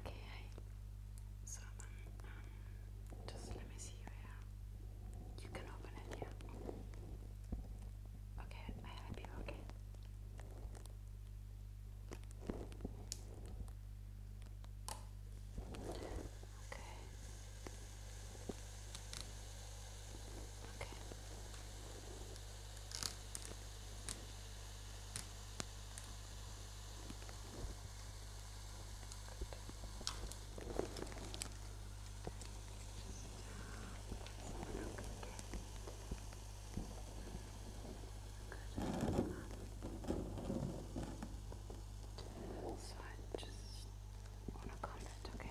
Okay, So um, um, just let me see where you can open it. Yeah. Okay, I help you. Okay. Okay. Okay. So I just want to comment, okay?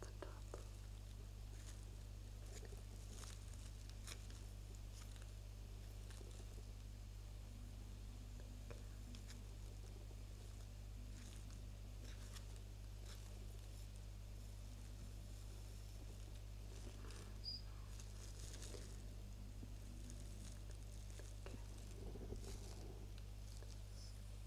the top. Okay.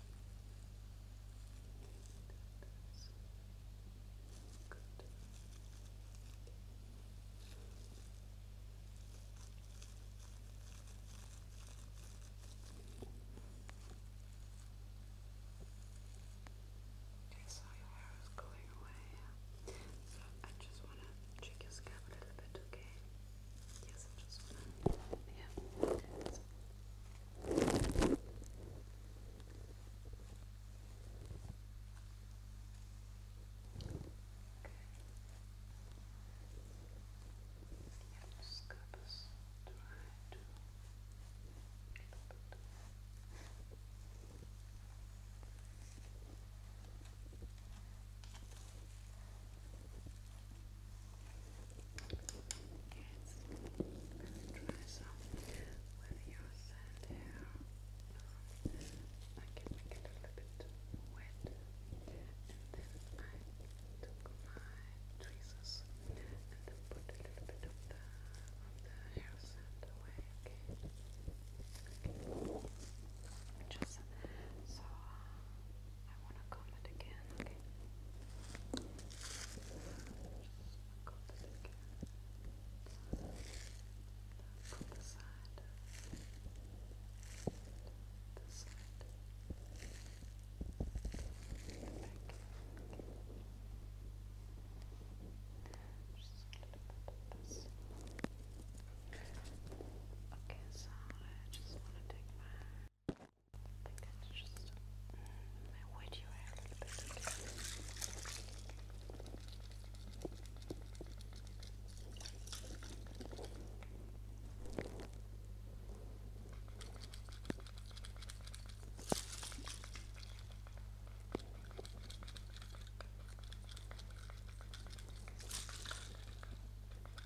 Okay, so your hair is going away, so I just want to check your scalp a little bit, okay? Yes, I just want to. Yeah. Okay. So. Okay. Yeah, just scrub this dry too. Okay try some with your hair. I can make it a little bit wet, and then I took my tweezers and then put a little bit of the of the hair sand just so. I want to comb again, okay? Comb it again. From the side. This side. The Just a little bit of this. Okay, so I just want to take my I think that's just my wood you have. Okay.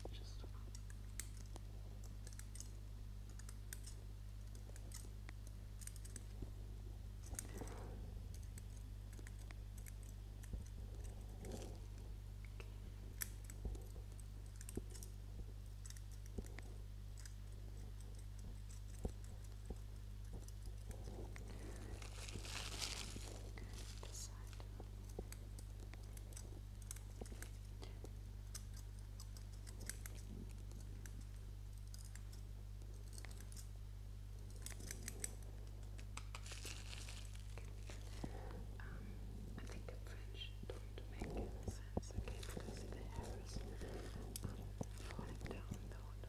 just Decide. Um, I think in French don't make any sense okay because the hairs are um, falling down the whole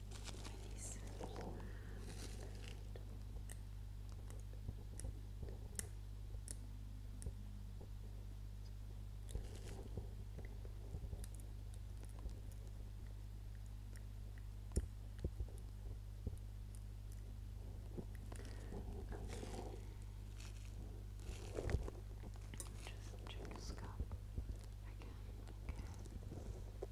Nice. Okay. Just check your scalp again, okay.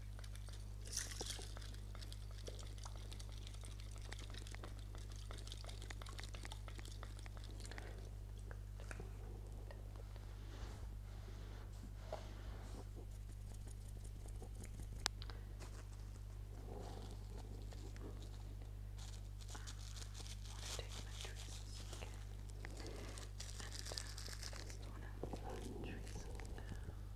I want to take my trees again and uh, I just want to trees down.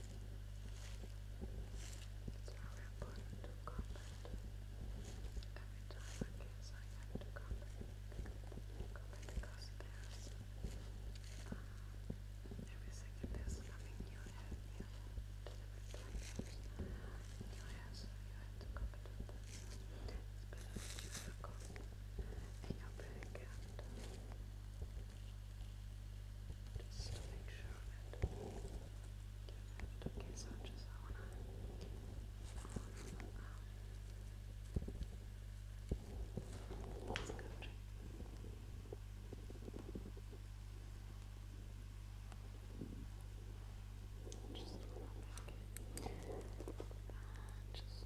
It's very important to comment. Every time I guess I have to because there's uh, every second there's something new head new different times. New you have to comment It's better you have a comment and your back end. Just to make sure that Okay, so just, I want let's go Just hold uh, on back. just.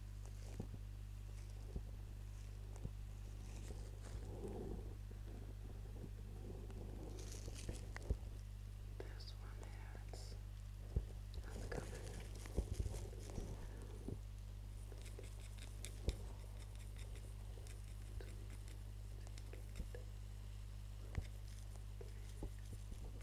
This one has uncovered.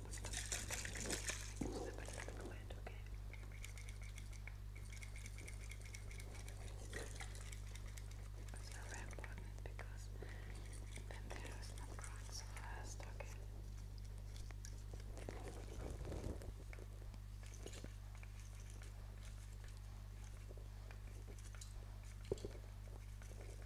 Remember to sprinkle it, okay? It's very important because then there is not growing so fast, okay? Okay,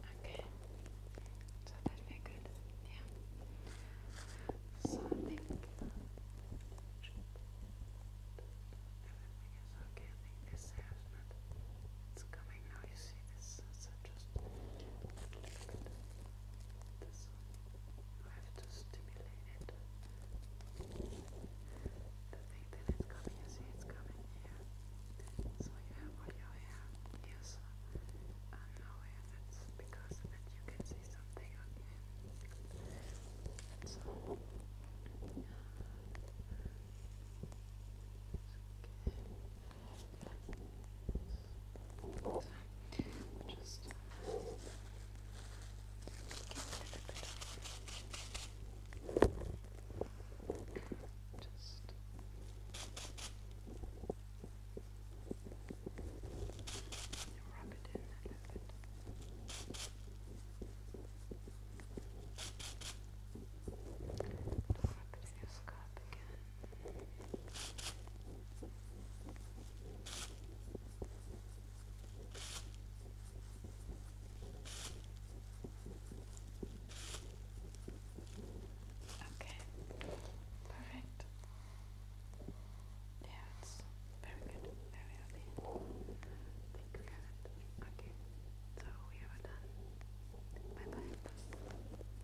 Okay, that'd be good, yeah. So everything is okay. this hair not, it's coming now. You see this? just I have to stimulate it. The thing that is coming, you see, it's coming here. So you have all your hair here, so now and because that you can see something on your Okay. So, just just rub it in a little bit. Just rub your scalp again. Okay, perfect. Yeah, it's very good, very happy. Thank you, Kenneth. Okay, so we are done. Bye bye.